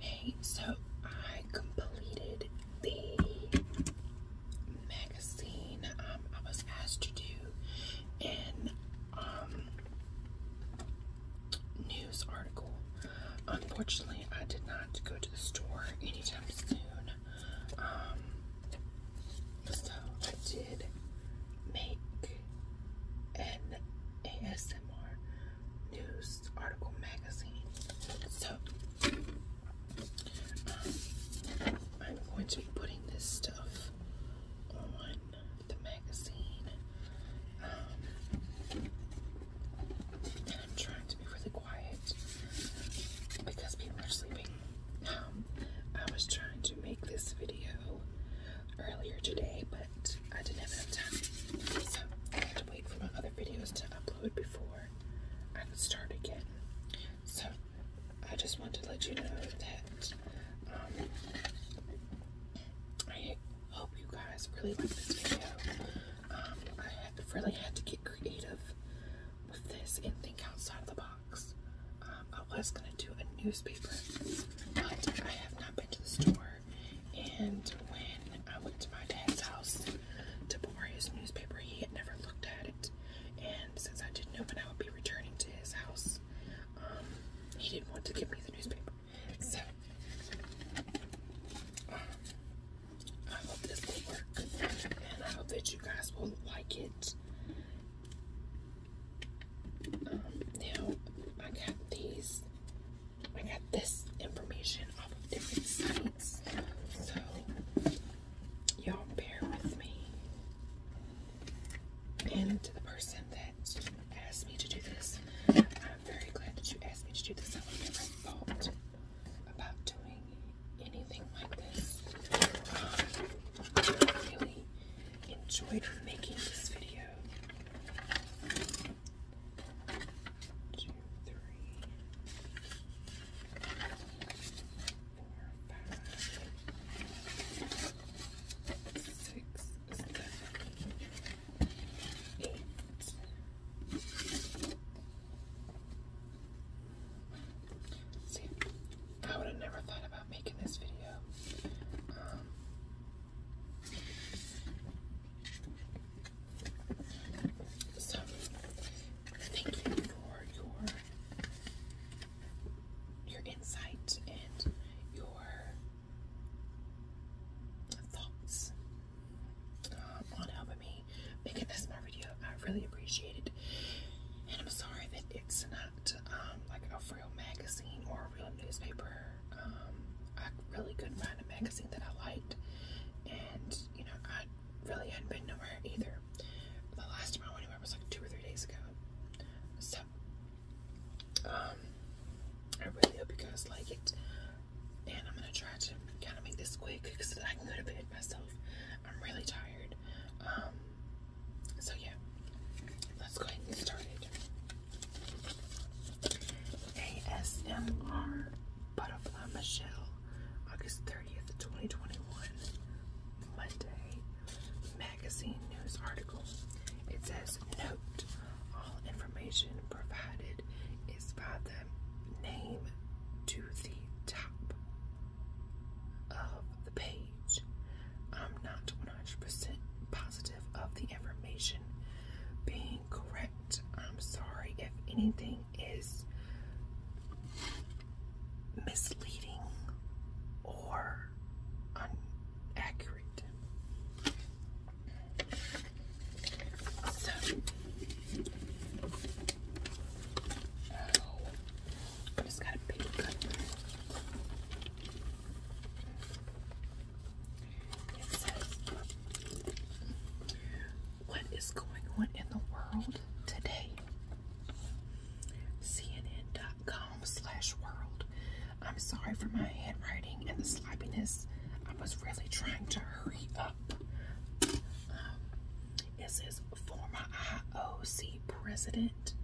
Hey, so I completed the magazine um, I was asked to do an um, news article. Unfortunately, I did not go to the store anytime soon. Um, so I did make an ASMR news article magazine. So um, I'm going to be putting this stuff on the magazine. Um, I'm trying to be really quiet because people are sleeping. Um, I was trying to make this video earlier today, but I didn't have time. So I had to wait for my other videos to upload before I could start again. So I just wanted to let you know that um, I hope you guys really like this video. Um, I really had to get creative with this and think outside of the box. Um, I was going to do a newspaper, but I have not been to the store and when I went to my dad's house to pour his newspaper, he had never looked at it. And since I didn't know when I would be returning to his house, um, he didn't want to give me the newspaper. So, um, I hope this will work. And I hope that you guys will like it. Um, now, I got these I got this information off of different sites. So, y'all bear with me. And to the person that asked me to do this, I'm very glad that you asked me to do this. I would never fault about doing anything like this. Um, I really enjoyed making this video two, three, four, five, six, seven, eight. See, I would have never thought about making this video. So, thank you for your your insight and your thoughts um, on helping me make this my video. I really appreciate it, and I'm sorry that it's not um, like a real magazine or a real newspaper. I um, really couldn't find a magazine that I liked, and you know, I really hadn't been nowhere either. The last time I went anywhere was like two or three days ago. So, um, I really hope you guys like it, and I'm gonna try to kind of make this quick because I can go to bed myself. I'm really tired. Um, so yeah, let's go ahead and get started. ASMR Butterfly Michelle, August 30th, 2021, Monday, magazine news articles. It says, Note, all information provided is by the name to the top of the page. I'm not 100% positive of the information being incorrect. I'm sorry if anything is misleading or inaccurate. So, oh, just got a pick. What is going on in the world today? CNN.com world. I'm sorry for my handwriting and the sloppiness. I was really trying to hurry up. Um, it says former IOC president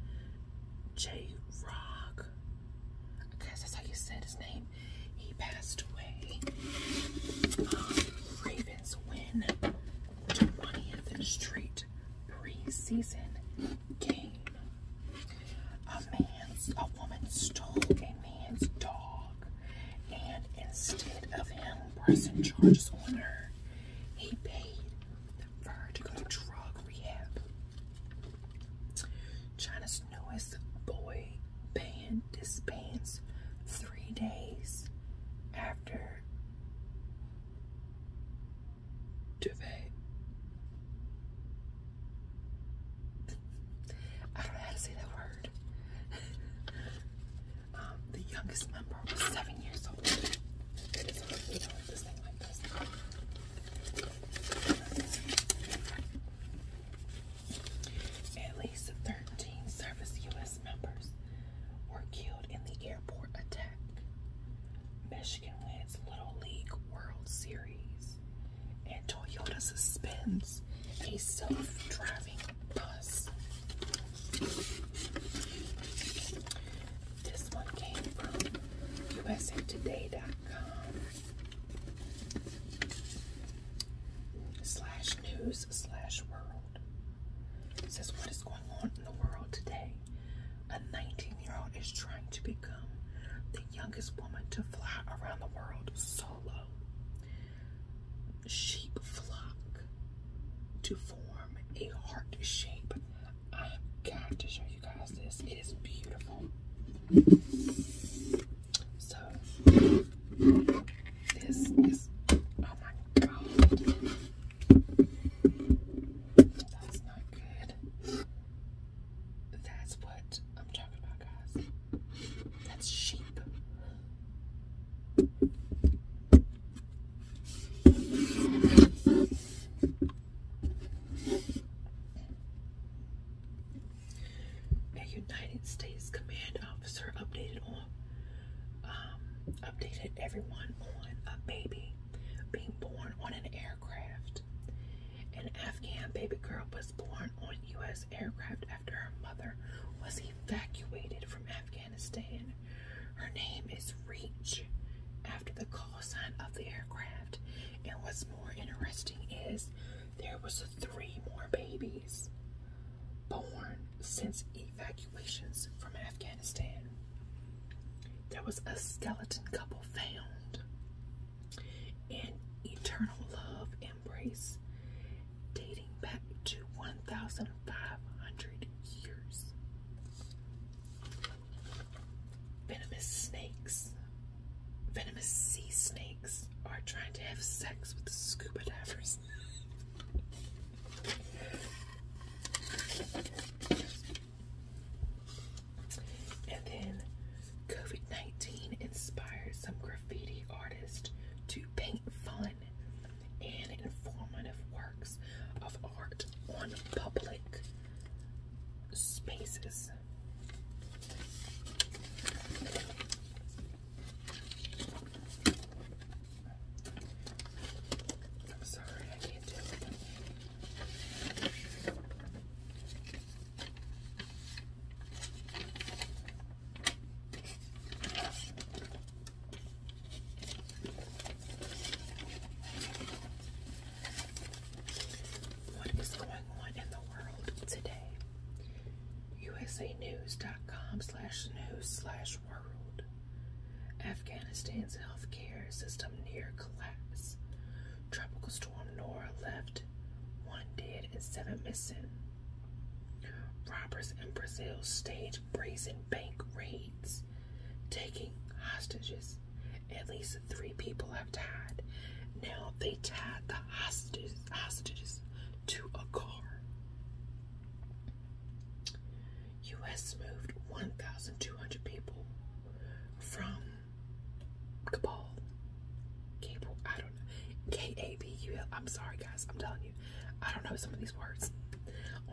J. Rock. I guess that's how you said his name. He passed away. Ravens win 20th Street preseason game. A man's, a woman stole a man's dog, and instead of him pressing charges on her, he paid for her to go to drug rehab. China's newest boy band disbands three days after duvet. I don't know how to say that word. Um, the youngest member was seven years old. At least 13 service U.S. members were killed in the airport attack. Michigan wins Little League World Series. And Toyota suspends a self driving bus. This one came from USA Today.com slash news slash world. says what is going on in the world today. A 19 year old is trying to become the youngest woman to fly around the world solo. Sheep flock to form a heart shape. I've got to show you guys this. It is beautiful. So this is oh my god. That's not good. That's what I'm talking about, guys. That's sheep. A United States command officer updated on um, updated everyone on a baby being born on an aircraft. An Afghan baby girl was born on U.S. aircraft after her mother was evacuated from Afghanistan. Her name is Reach after the call sign of the aircraft. And what's more interesting is there was three more babies born since evacuations from Afghanistan. There was a skeleton couple found. An eternal love embrace dating back to 1,500 years. Venomous snakes venomous sea snakes are trying to have sex with scuba divers. and then COVID 19 inspired some graffiti artists to paint fun and informative works of art on public spaces. I'm sorry, I can't do it. What is going on in the world today? usanews.com slash news slash world. Afghanistan's healthcare system near collapse. Tropical storm Nora left one dead and seven missing. Robbers in Brazil stage brazen bank raids, taking hostages. At least three people now they tied the hostages, hostages to a car. U.S. moved 1,200 people from Kabul. Kabul, I don't know. I'm sorry, guys. I'm telling you. I don't know some of these words.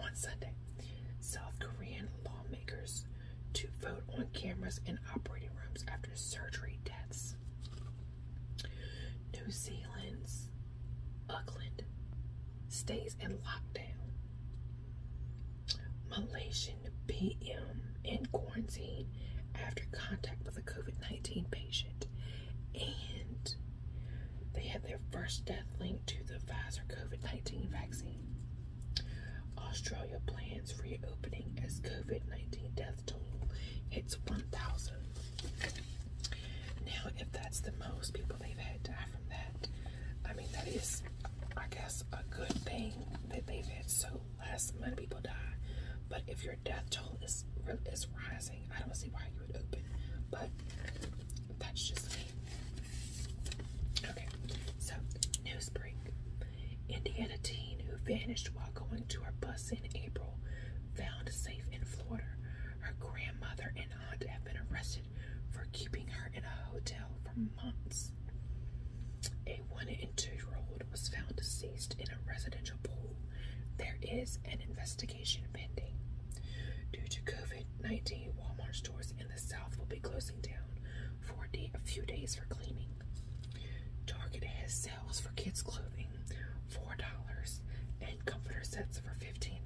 On Sunday, South Korean lawmakers to vote on cameras in operating rooms after surgery deaths. New Zealand's Auckland stays in lockdown. Malaysian PM in quarantine after contact with a COVID 19 patient. And they had their first death linked to the Pfizer COVID 19 vaccine. Australia plans reopening as COVID 19 death it's 1,000. Now, if that's the most people they've had die from that, I mean, that is, I guess, a good thing that they've had so less amount people die. But if your death toll is, is rising, I don't see why you would open. But that's just me. Okay, so news break. Indiana teen who vanished while going to her bus in April found safe in Florida. Her grandmother and aunt have been arrested for keeping her in a hotel for months. A one and two year old was found deceased in a residential pool. There is an investigation pending. Due to COVID 19, Walmart stores in the South will be closing down for a, few days for cleaning. Target has sales for kids' clothing, $4, and comforter sets for $15.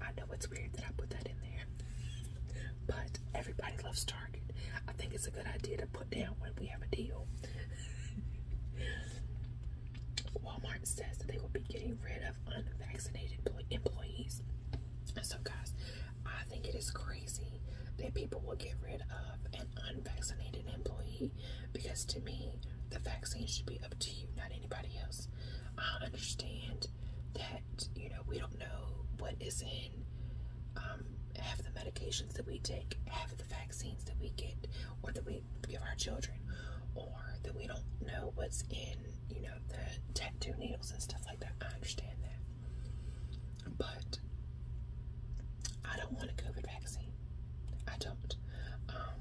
I know it's weird that I put that in there, but everybody loves Target. I think it's a good idea to put down when we have a deal. Walmart says that they will be getting rid of unvaccinated employees. So, guys, I think it is crazy that people will get rid of an unvaccinated employee because to me, the vaccine should be up to you, not anybody else. I understand that, you know, we don't know what is in um, half the medications that we take, half the vaccines that we get, or that we give our children, or that we don't know what's in, you know, the tattoo needles and stuff like that. I understand that but I don't want a COVID vaccine. I don't. Um,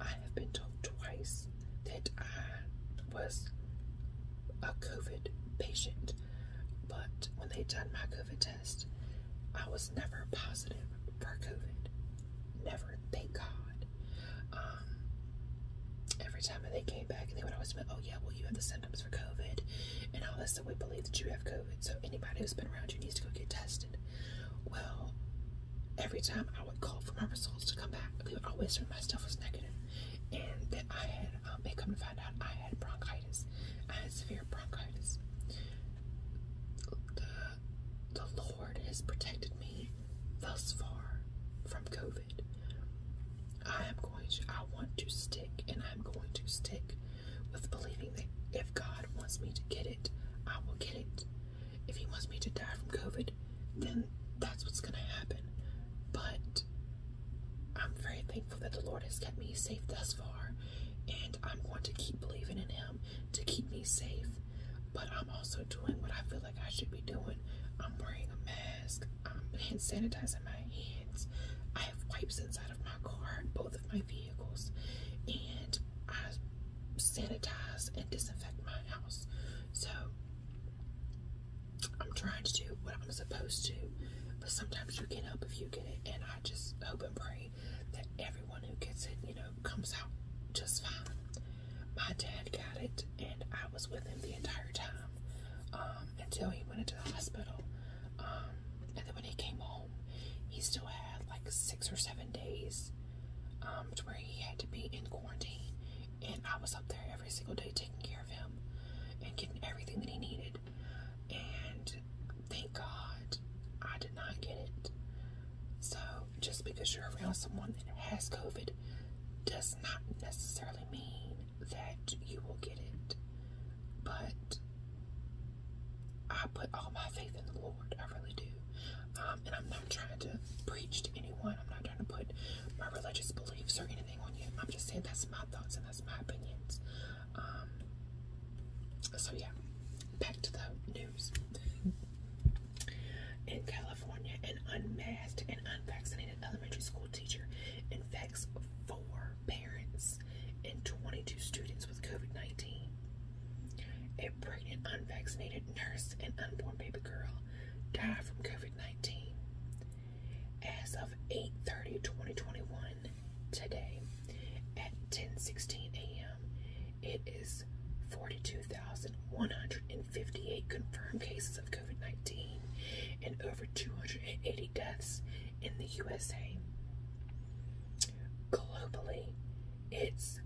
I have been told twice that I was a COVID patient, but when they done my COVID test, I was never positive for COVID. Never, thank God. Um, every time they came back and they would always say, oh yeah, well you have the for COVID and all this, that we believe that you have COVID. So anybody who's been around you needs to go get tested. Well, every time I would call for my results to come back, they would always say my stuff was negative and that I had, um, they come to find out I had bronchitis. I had severe bronchitis. The, the Lord has protected me thus far from COVID. I am going to, I want to stick and I'm going to stick with believing that if God wants me to get it, I will get it. If He wants me to die from COVID, then that's what's going to happen. But I'm very thankful that the Lord has kept me safe thus far, and I'm going to keep believing in Him to keep me safe. But I'm also doing what I feel like I should be doing. I'm wearing a mask, I'm hand sanitizing my hands. I have wipes inside of my car, both of my vehicles, and I sanitize and disinfect my house. So I'm trying to do what I'm supposed to, but sometimes you can't help if you get it, and I just hope and pray that everyone who gets it, you know, comes out just fine. My dad got it, and I was with him the entire time um, until he went into the hospital. Um, and then when he came home, he still had like six or seven days um, to where he had to be in quarantine. And I was up there every single day taking care of him and giving everything that he needed. And thank God I did not get it. So just because you're around someone that has COVID does not necessarily mean that you will get it. But I put all my faith in the Lord. I really do. Um, and I'm not trying to preach to anyone. I'm not trying to put my religious beliefs or anything on you. I'm just saying that's my thoughts and that's my opinions. Um, so, yeah, back to the news. in California, an unmasked and unvaccinated elementary school teacher infects four parents, and 22 students with COVID 19. A pregnant, unvaccinated nurse and unborn baby girl died from COVID 19. As of 8:30, 2021, today at 10:16 a.m., it is 42,158 confirmed cases of COVID-19 and over 280 deaths in the USA. Globally, it's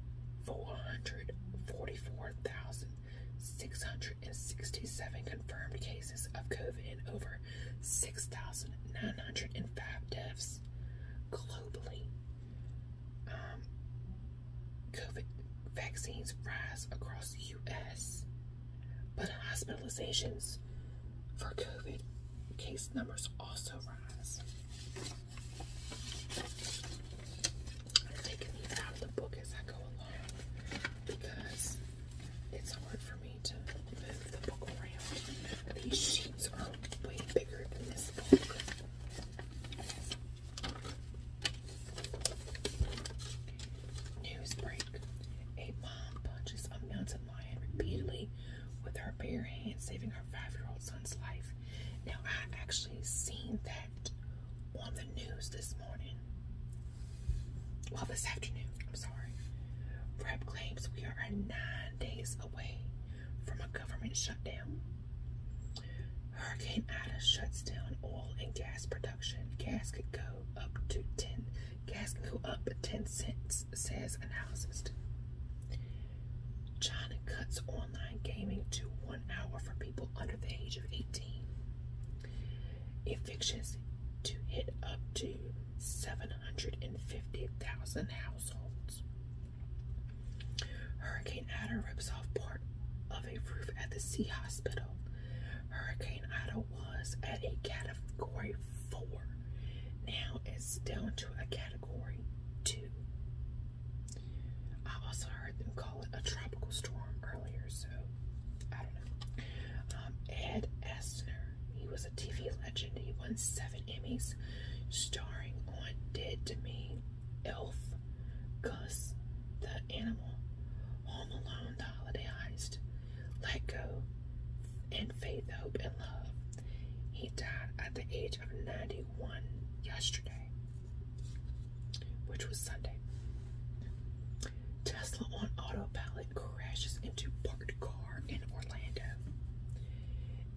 444,667 confirmed cases of COVID and over 6,905 deaths globally. Um, COVID vaccines rise across the U.S., but hospitalizations for COVID case numbers also rise. I'm taking these out of the book as I go along because it's hard for me to move the book around. These sheets are way bigger than this book. News break. A mom punches a mountain lion repeatedly with her bare hand saving her five-year-old son's life. Now, I actually seen that on the news this morning. Well, this afternoon, I'm sorry. Rep claims we are nine days away from a government shutdown. Hurricane Ida shuts down oil and gas production. Gas could go up to 10 Gas can go up 10 cents, says analysis. China cuts online gaming to one hour for people under the age of 18. Evictions to hit up to 750,000 households. Hurricane Ida rips off part of a roof at the Sea Hospital. Hurricane Ida was at a category four. Now it's down to a category two. I also heard them call it a tropical storm earlier, so I don't know. Um, Ed Asner, he was a TV legend. He won seven Emmys, starring on Dead to Me, Elf, Gus, The Animal, Home Alone, The Holiday Heist, let go, in faith, hope, and love. He died at the age of 91 yesterday, which was Sunday. Tesla on autopilot crashes into parked car in Orlando.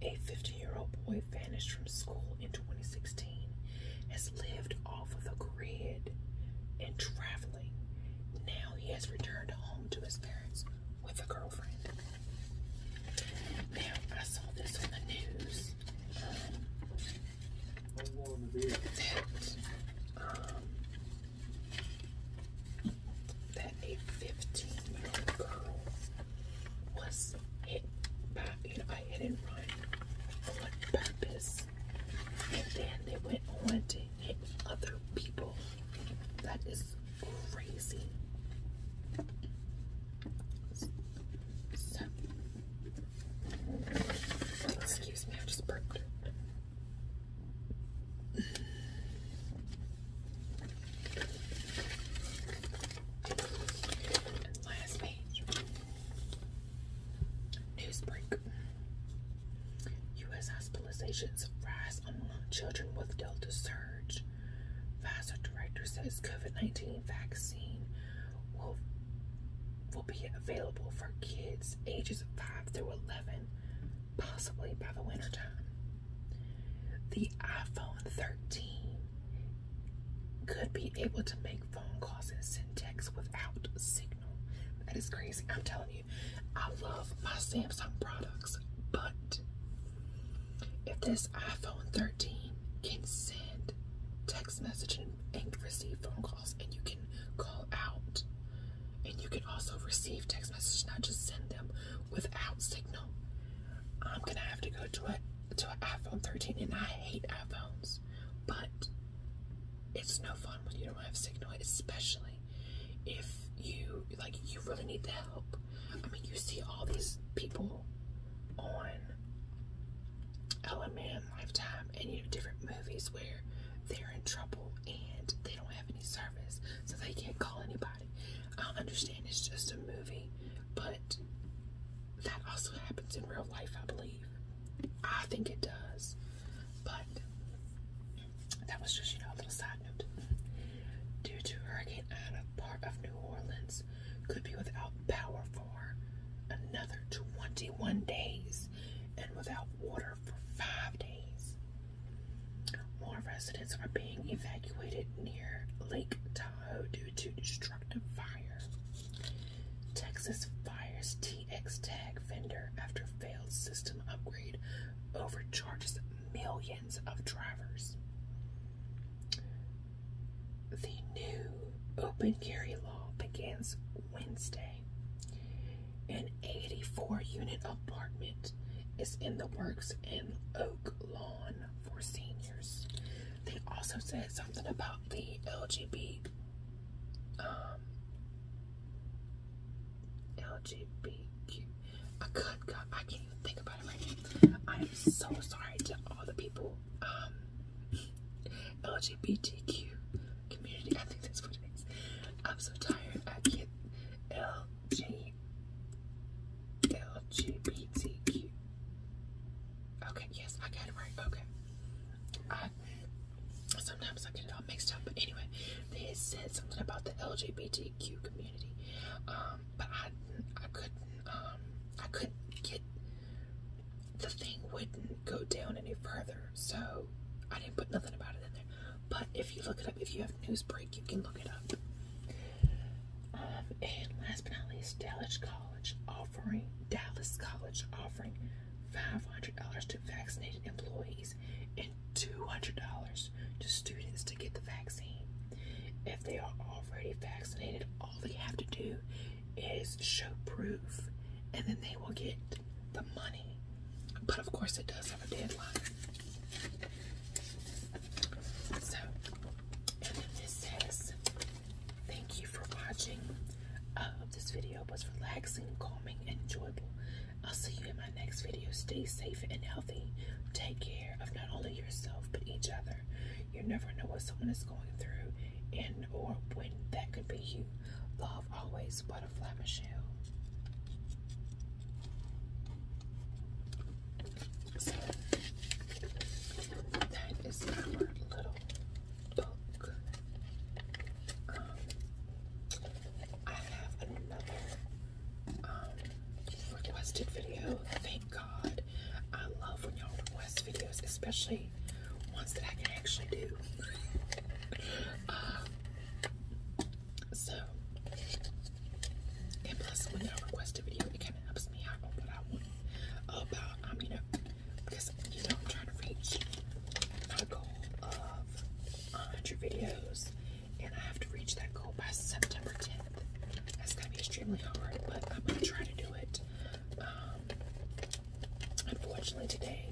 A 15-year-old boy vanished from school in 2016 has lived off of the grid and traveling. Now he has returned home to his parents with a girlfriend. Now, I saw this on the news um, um, that, a 15 year old girl was hit by, you know, hit and run on purpose, and then they went on to hit other people that is crazy. excuse me, I just burped. Last page. News break. U.S. hospitalizations rise children with Delta surge. Pfizer director says COVID-19 vaccine will will be available for kids ages 5 through 11, possibly by the wintertime. The iPhone 13 could be able to make phone calls and send texts without signal. That is crazy. I'm telling I love my Samsung products, but if this iPhone 13 can send text messaging and receive phone calls, and you can call out, and you can also receive text messages, not just send them without signal, I'm gonna have to go to a to an iPhone 13, and I hate iPhones, but it's no fun when you don't have signal, especially if you like you really need the help. I mean you see all these people on LMN Lifetime and you know different movies where they're in trouble and they don't have any service so they can't call anybody. I understand it's just a movie, but that also happens in real life, I believe. I think it does. But that was just, you know, a little side note. Due to Hurricane Ida, part of New Orleans could be without power for another 21 days and without water for five days. More residents are being evacuated near Lake Tahoe due to destructive fire. Texas fires TX tag vendor after failed system upgrade overcharges millions of drivers. The new open carry law begins Wednesday. An 84 unit apartment is in the works in Oak Lawn for seniors. They also said something about the LGBT. Um, LGBTQ I could I can't even think about it right now. I am so sorry to all the people, um, LGBTQ community. I think that's what it is. I'm so tired. I get LG, LGBTQ. Okay, yes, I got it right. Okay. I, sometimes I get it all mixed up, but anyway, they said something about the LGBTQ. LGBTQ community. Um, but I, I couldn't, um, I couldn't get the thing wouldn't go down any further, so I didn't put nothing about it in there. But if you look it up, if you have news break, you can look it up. Um, and last but not least, Dallas College offering Dallas College offering $500 to vaccinated employees $200 to students to get the vaccine. If they are already vaccinated, all they have to do is show proof and then they will get the money. But of course, it does have a deadline. So, and then this says, Thank you for watching. I hope this video was relaxing, calming, enjoyable. I'll see you in my next video. Stay safe and healthy. Take care of not only yourself, but each other. You never know what someone is going through and or when that could be you. Love always, Butterfly Michelle. So, that is our little book. Um, I have another um, requested video. Thank God. I love when y'all request videos, especially ones that I can actually do. Uh, so, and plus, when I request a video, it kind of helps me out on what I want about, um, you know, because, you know, I'm trying to reach my goal of 100 videos and I have to reach that goal by September 10th. That's gonna be extremely hard, but I'm gonna try to do it. Um, unfortunately, today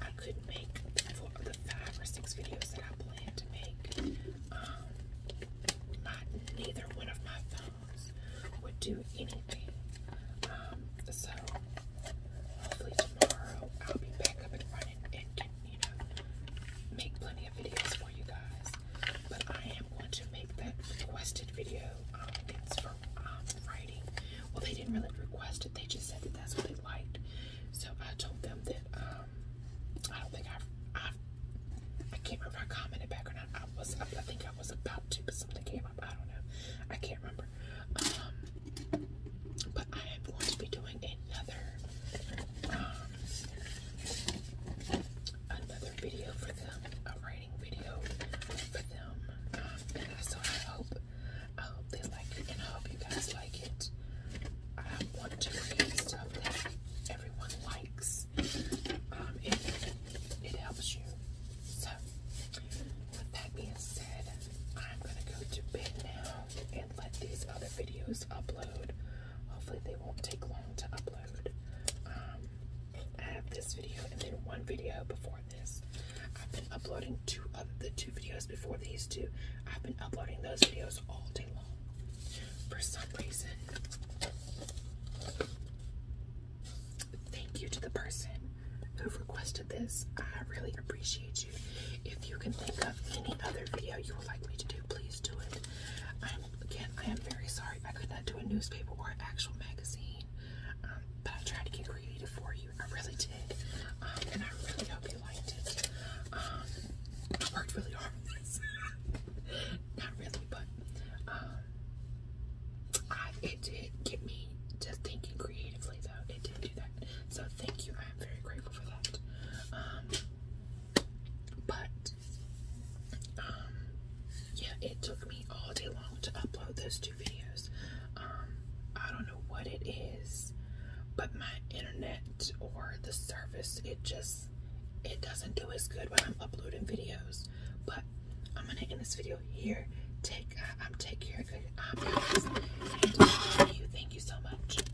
I couldn't make four of the five or six videos that I planned to make. Um, neither one of my phones would do anything. Um, so hopefully tomorrow I'll be back up and running you know, make plenty of videos for you guys. But I am going to make that requested video. Um, it's for um, writing. Well, they didn't really request it. They just said that that's what they liked. So I told them that um, I don't think I, I, can't remember if I commented back or not. I was, I, I think I was about to, but something came up. I don't know. I can't remember. Um, but I am going to be doing another another video for them, a writing video for them. Um, and so I hope, I hope they like it, and I hope you guys like it. I want to read stuff that everyone likes. Um, it, it helps you. So, with that being said, I'm gonna go to bed now and let these other videos upload. Hopefully, they won't take long to upload. Um, I have this video and then one video before this. I've been uploading two of the two videos before these two. I've been uploading those videos all day long. For some reason, thank you to the person who requested this. I really appreciate you. If you can think of any other video you would like me to do, please do it. I'm, again, I am very sorry I could not do a newspaper or an actual magazine, um, but I tried to get creative for you. I really did, um, and I really hope you liked it. Um, I worked really hard on this. not really, but it did get me to thinking creatively, though. It did do that. So thank you. I am very grateful for that. But um, yeah, it took me all day long to upload those two videos. Um, I don't know what it is, but my internet or the service, it just it doesn't do as good when I'm uploading videos. But I'm gonna end this video here. Take uh, I'm take care of good um, you. Thank you so much.